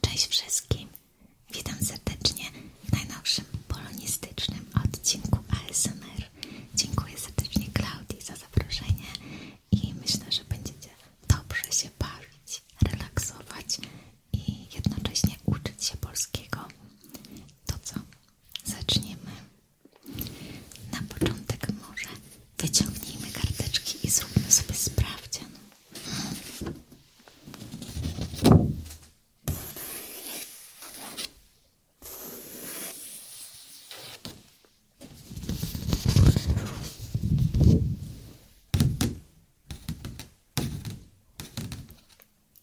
Cześć wszystkim! Witam serdecznie w najnowszym polonistycznym odcinku ASMR. Dziękuję serdecznie Klaudii za zaproszenie i myślę, że będziecie dobrze się bawić, relaksować i jednocześnie uczyć się polskiego. To co? Zaczniemy. Na początek może wyciągnijmy karteczki i zróbmy sobie sprawdzian.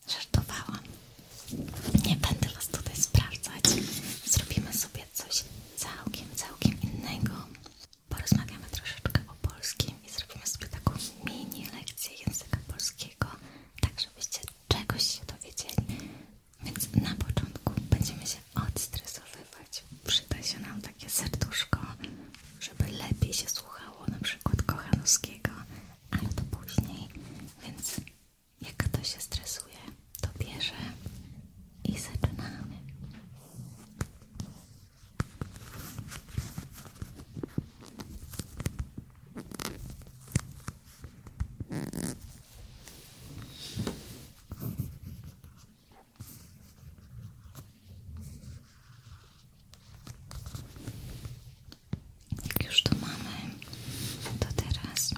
Żartowałam. Nie będę Was tutaj sprawdzać. Zrobimy sobie coś całkiem, całkiem innego. Porozmawiamy troszeczkę o polskim i zrobimy sobie taką mini lekcję języka polskiego, tak żebyście czegoś się dowiedzieli. Więc na początku będziemy się odstresowywać. Przyda się nam takie serduszko, żeby lepiej się słuchało na przykład Kochanowskiego, ale to później, więc jak ktoś się stresuje, to bierze i zaczynamy. Jak już to mamy, to teraz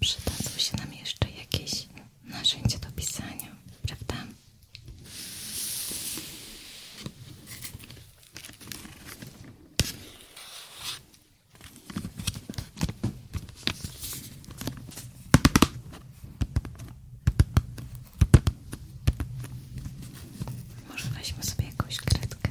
przydadzą się nam jeszcze jakieś narzędzie do pisania, prawda? Może sobie jakąś kredkę.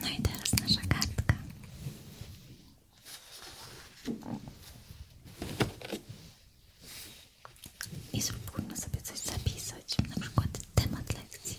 No i teraz nasza kartka. I spróbujmy sobie coś zapisać, na przykład temat lekcji.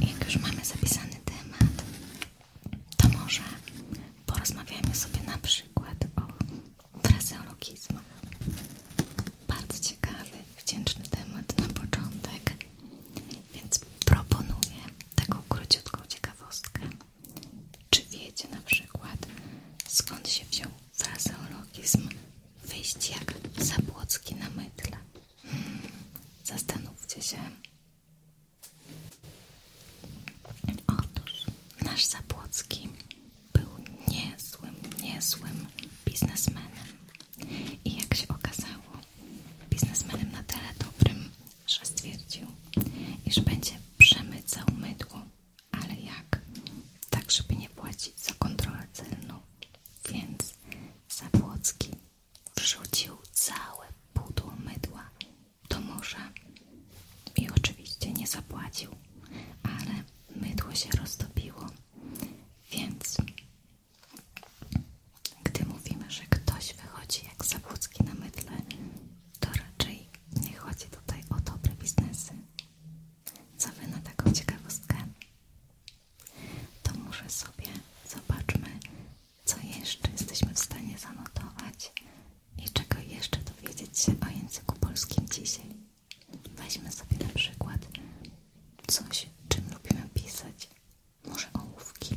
jak już mamy zapisany temat, to może porozmawiamy sobie na przykład o fraseologizmach. Bardzo ciekawy, wdzięczny temat na początek, więc proponuję taką króciutką ciekawostkę. Czy wiecie na przykład, skąd się wziął frazeologizm wyjść jak Zabłocki na mydle? Zastanówcie się. Otóż nasz Zapłocki był niezłym, niezłym biznesmenem. I jak się okazało, biznesmenem na tyle dobrym, że stwierdził, iż będzie przemycał mydło. Ale jak? Tak, żeby nie płacić za kontrolę celną. Więc Zapłocki wrzucił całe pudło mydła do morza i oczywiście nie zapłacił, ale mydło się roztopiło, więc gdy mówimy, że ktoś wychodzi jak zawódzki na mydle, to raczej nie chodzi tutaj o dobre biznesy. Co wy na taką ciekawostkę? to może sobie zobaczmy, co jeszcze jesteśmy w stanie zanotować i czego jeszcze dowiedzieć się o języku polskim dzisiaj. Weźmy sobie na przykład coś, czym lubimy pisać. Może ołówki.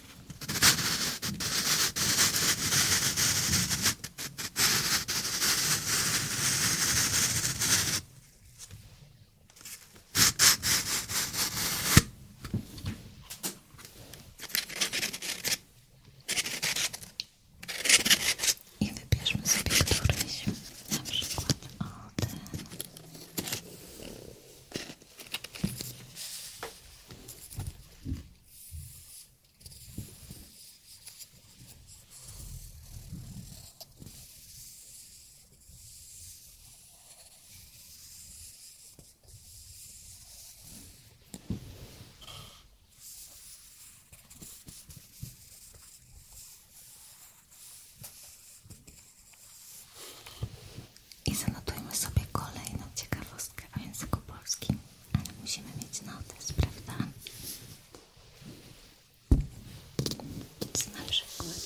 I wybierzmy sobie któryś, na przykład o ten. I zanotujmy sobie kolejną ciekawostkę o języku polskim. Musimy mieć notes, prawda? Więc na przykład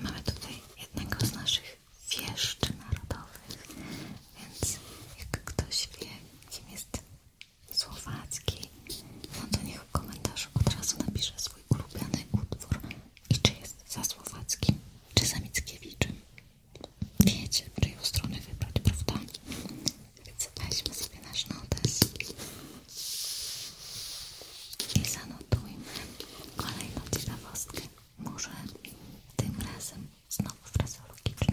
Mamy tutaj jednego z naszych wieszczy narodowych, więc jak ktoś wie, kim jest słowacki, no to niech w komentarzu od razu napisze swój ulubiony utwór i czy jest za słowackim, czy za mickiewiczym. Wiecie, czyją stronę wybrać, prawda? Więc weźmy sobie nasz notes i zanotujmy kolejną ciekawostkę. Może tym razem znowu frazologiczną.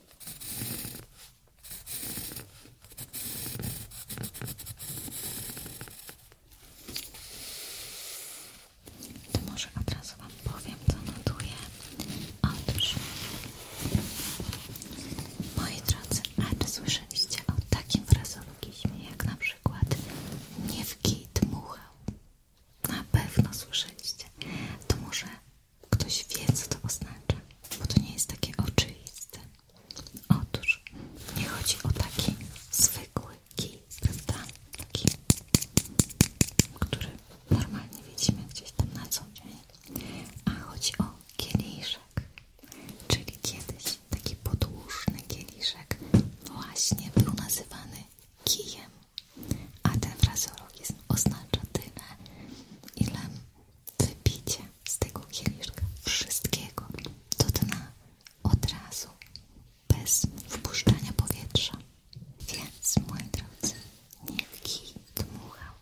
To może od razu Wam powiem, co notuję. Otóż, moi drodzy, a czy słyszeliście o takim frazeologizmie, jak na przykład nie w kij Na pewno słyszeliście. To może Ktoś wie, co to oznacza, bo to nie jest takie oczywiste. Otóż nie chodzi o taki zwykły kij, prawda? Taki, który normalnie widzimy gdzieś tam na co dzień. A chodzi o kieliszek, czyli kiedyś taki podłużny kieliszek właśnie był nazywany kijem. A ten frazeologizm oznacza tyle, ile wypicie z tego kieliszka wszystkiego do dna od razu, bez wpuszczania powietrza. Więc, moi drodzy, niech kij dmuchał.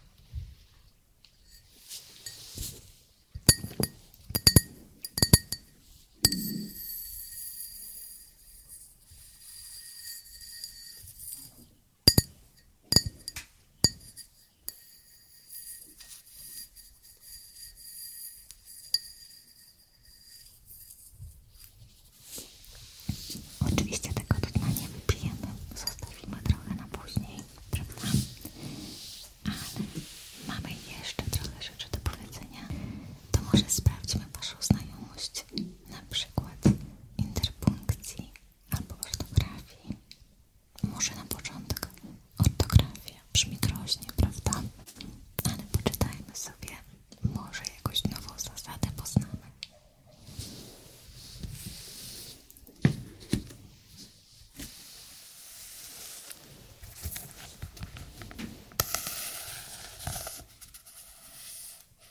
Oczywiście tego dnia nie wypijemy, zostawimy trochę na później, prawda? Ale mamy jeszcze trochę rzeczy do powiedzenia. To może sprawdźmy Waszą znajomość na przykład interpunkcji albo ortografii. Może na początek ortografia brzmi groźnie, prawda? Ale poczytajmy sobie, może jakąś nową zasadę poznamy.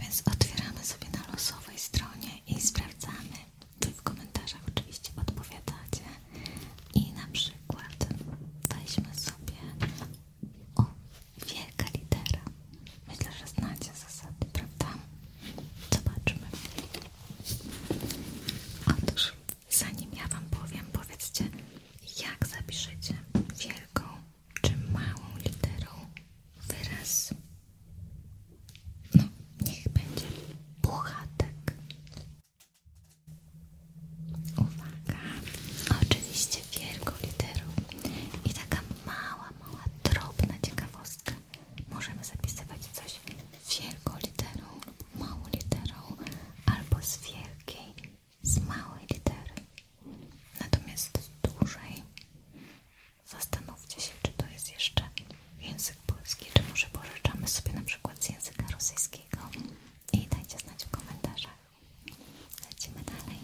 Więc otwieramy sobie na losowej stronie i sprawdzamy, czy w komentarzach oczywiście odpowiadacie. I na przykład weźmy sobie o wielka litera. Myślę, że znacie zasady, prawda? Zobaczmy. Otóż, zanim ja Wam powiem, powiedzcie, jak zapiszecie wielką czy małą literą wyraz. No, niech będzie puchatek. Uwaga, oczywiście wielką literą i taka mała, mała, drobna ciekawostka. Możemy zapisywać coś wielką literą lub małą literą, albo z wielkiej, z małej litery. Natomiast z dużej zastanówcie się, czy to jest jeszcze język polski, czy może pożyczamy sobie na przykład z języka rosyjskiego i dajcie znać w komentarzach. Lecimy dalej.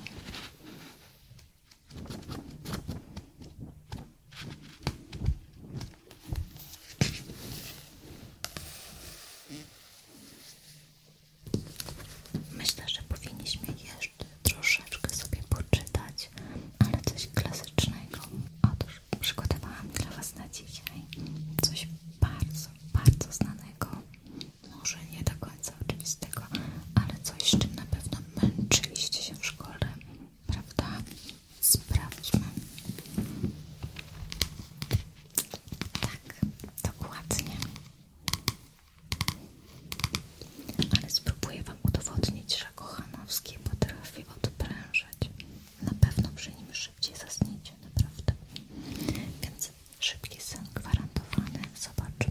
Myślę, że powinniśmy jeszcze troszeczkę sobie poczytać, ale coś klasycznego. Otóż przygotowałam dla Was na dzisiaj coś bardzo, bardzo znanego. Może nie tak co oczywistego, ale coś, z czym na pewno męczyliście się w szkole, prawda? Sprawdźmy. Tak, dokładnie. Ale spróbuję Wam udowodnić, że Kochanowski potrafi odprężać. Na pewno przy nim szybciej zasniecie, naprawdę. Więc szybki sen gwarantowany. Zobaczmy.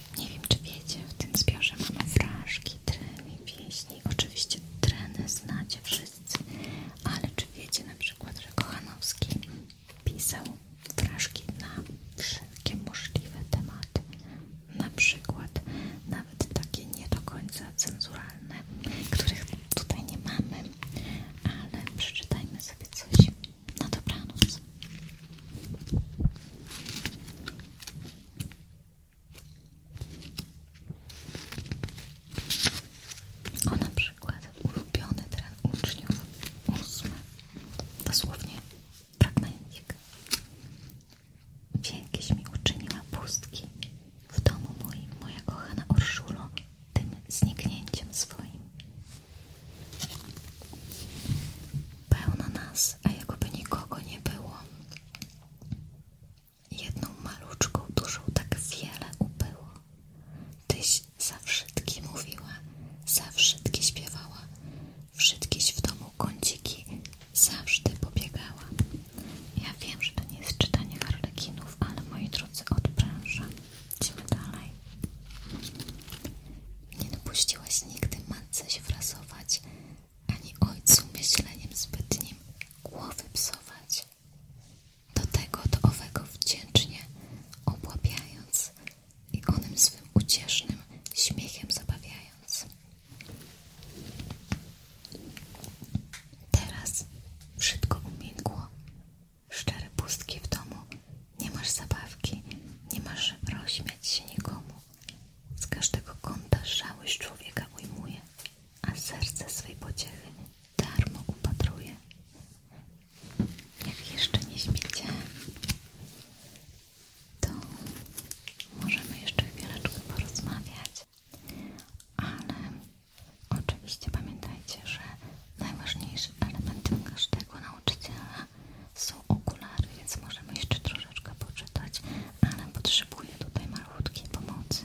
Nie wiem, czy wiecie, w tym zbiorze mamy fraszki, treny, pieśni. Oczywiście treny znacie wszyscy, ale czy wiecie na przykład, że Kochanowski pisał fraszki na wszelkie możliwe tematy? Na przykład nawet takie nie do końca cenzuralne, których tutaj nie mamy, ale przeczytajmy sobie coś. na dobranoc. O na przykład ulubiony teren uczniów ósmy, dosłownie fragmencik. Dziękiś mi uczyniła pustki w domu moim, moja kochana Urszulo, tym zniknięciem swoim. Pełno nas, a jakoby nikogo nie było. Jedną maluczką duszą tak wiele ubyło. Tyś za wszystkie mówiła, za wszystkie śpiewała, wszystkieś w domu kąciki zawsze pobiegała. Ja wiem, że to nie jest czytanie harlekinów, ale moi drodzy, odprężam. Idziemy dalej. Nie dopuściłaś nigdy matce się frasować, ani ojcu myśleniem zbytnim głowy psować. Do tego do owego wdzięcznie obłapiając i onym swym uciesznym śmiechem zabawiając. Teraz wszystko umilkło. Szczere pustki w domu. Nie masz zabawki, nie masz rozśmiać się nikomu. Z każdego kąta żałość człowieka ujmuje, a serce swej pociechy darmo upatruje. Jak jeszcze nie śmiecie, to możemy jeszcze wiele chwileczkę porozmawiać, ale oczywiście pamiętajcie, że najważniejszym elementem każdego nauczyciela są okulary, więc możemy jeszcze troszeczkę poczytać, ale potrzebuję tutaj malutkiej pomocy.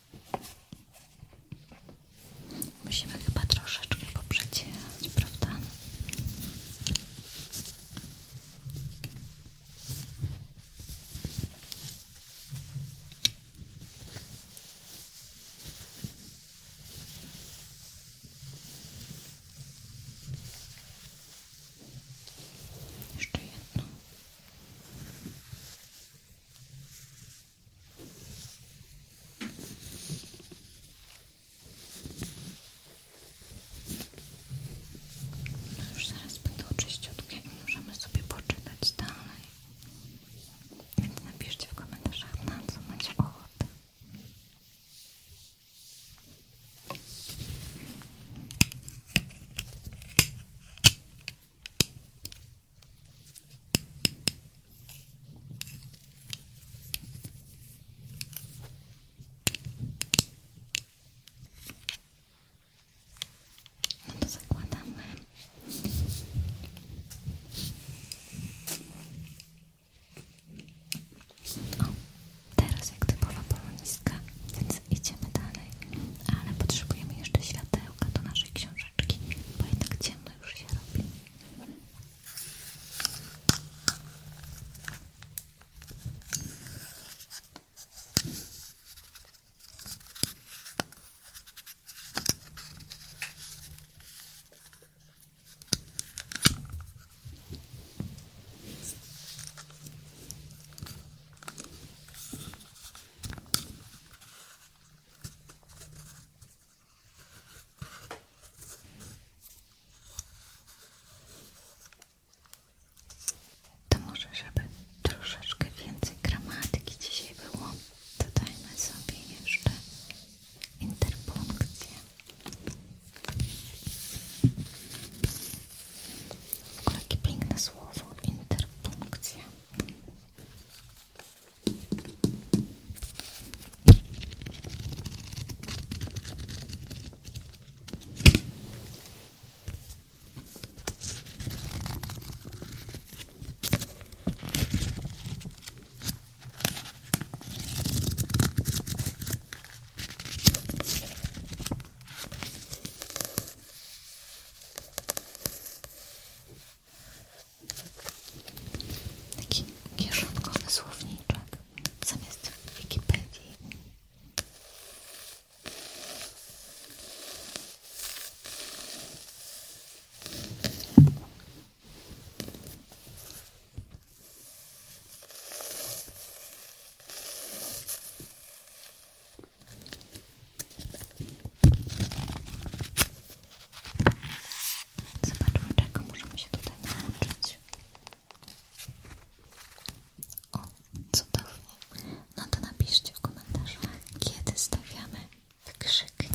Musimy chyba troszeczkę poprzecierać, prawda? Jeszcze jedno. Już zaraz będą czyściutkie i możemy sobie poczytać dalej. Więc napiszcie w komentarzach, na co macie ochotę. No to zakładamy. O, teraz jak typowa polonistka, więc więc idziemy dalej. Ale potrzebujemy jeszcze światełka do naszej książeczki, bo jednak ciemno już się robi. To może, żeby troszeczkę więcej gramatyki dzisiaj było, dodajmy sobie jeszcze interpunkcję. Jakie piękne słowo, interpunkcja. Taki kieszonkowy słowniczek zamiast Wikipedii. Zobaczmy, czego możemy się tutaj nauczyć. O, cudownie. No to napiszcie w komentarzach, kiedy stawiamy wykrzyknik.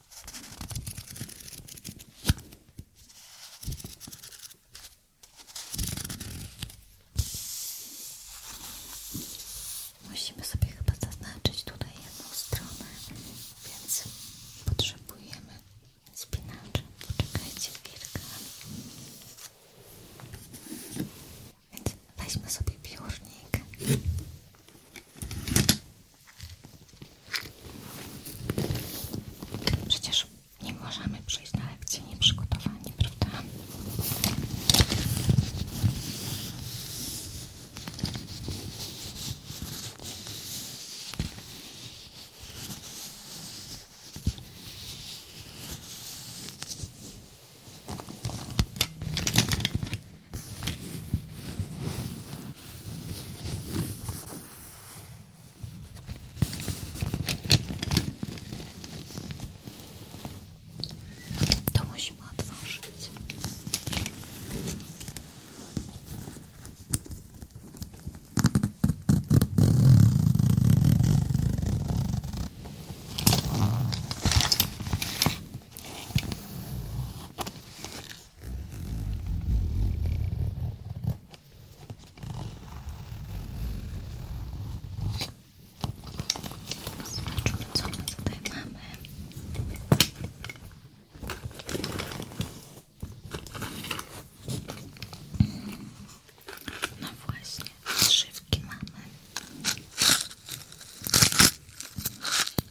Musimy sobie chyba zaznaczyć tutaj jedną stronę, więc potrzebujemy spinaczy. Poczekajcie chwilkę. Weźmy sobie piórnik. Przecież nie możemy przyjść na lekcję nieprzygotowani, prawda? To musimy otworzyć. Zobaczmy, co my tutaj mamy. No właśnie, szywki mamy.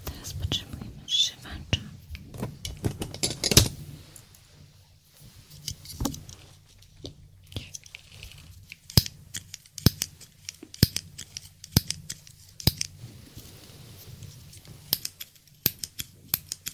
A teraz potrzebujemy zszywacza.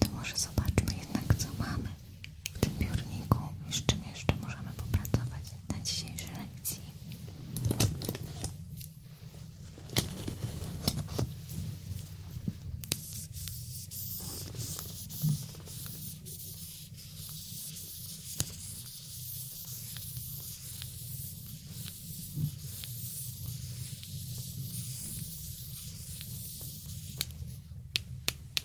To może zobaczmy jednak, co mamy w tym piórniku i z czym jeszcze możemy popracować na dzisiejszej lekcji.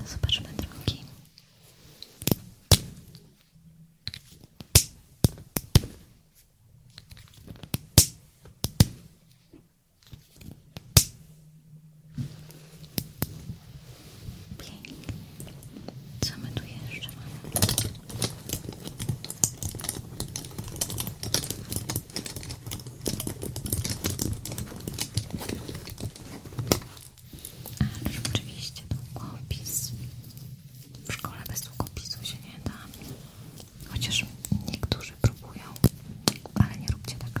To zobaczmy drugi. Pięknie. Co my tu jeszcze Ależ oczywiście długopis. W szkole bez długopisu się nie da. Chociaż niektórzy próbują, ale nie róbcie tak.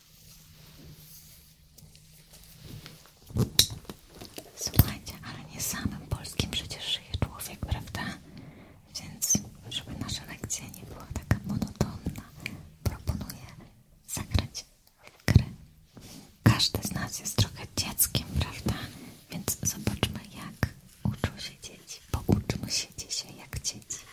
Słuchajcie, ale nie samym polskim przecież żyje człowiek, prawda? Więc, żeby nasza lekcja nie była taka monotonna, proponuję zagrać w grę. Każdy z nas jest trochę dzieckiem, prawda? Więc zobaczmy, jak uczą się dzieci. Pouczmy się dzisiaj jak dzieci.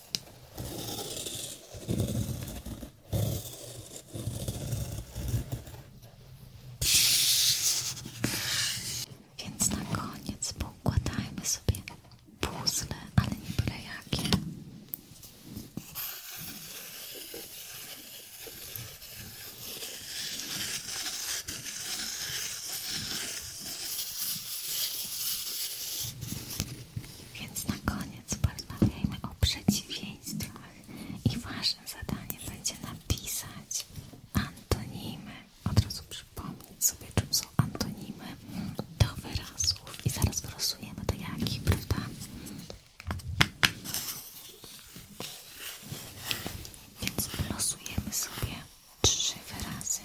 Więc na koniec poukładajmy sobie puzzle, ale nie byle jakie. Więc na koniec porozmawiajmy o przeciwieństwach i ważne zadanie będzie napisać antonimy. Od razu przypomnieć sobie, czym są antonimy do wyrazów i zaraz wyrosujemy do jaki, prawda? Więc losujemy sobie trzy wyrazy.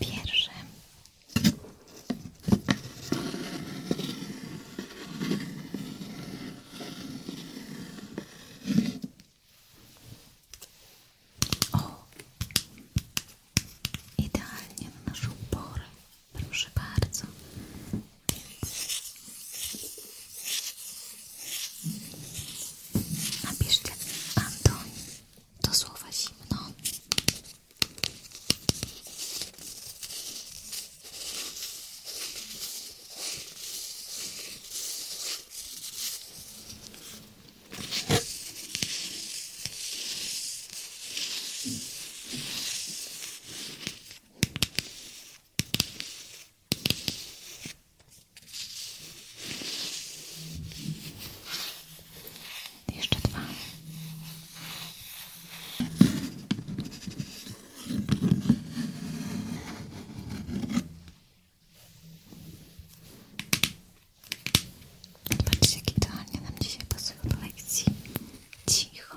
Pierwsze. O, idealnie na naszą porę. Proszę bardzo. Napiszcie Anton do słowa zimno. Jeszcze dwa. Patrzcie, jak idealnie nam dzisiaj pasują do lekcji. Cicho.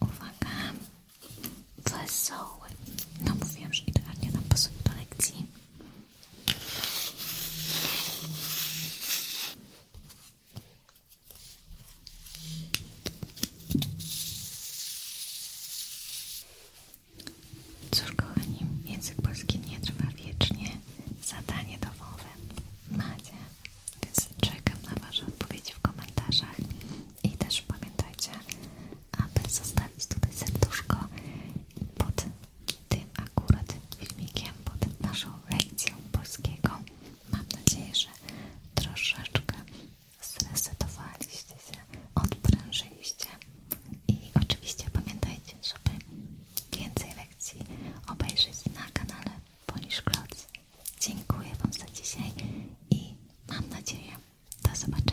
Uwaga, wesoły. No mówiłam, że idealnie nam pasuje do lekcji. Cóż kochani, język polski nie trwa wiecznie. Zadanie domowe macie, więc czekam na Wasze odpowiedzi w komentarzach i też pamiętajcie, aby zostawić tutaj serduszko pod tym akurat filmikiem, pod naszą lekcją polskiego. Mam nadzieję, że troszeczkę zresetowaliście się, odprężyliście i oczywiście pamiętajcie, żeby więcej lekcji obejrzeć na kanale Polish Kloc. Dziękuję Wam za dzisiaj i mam nadzieję do zobaczenia.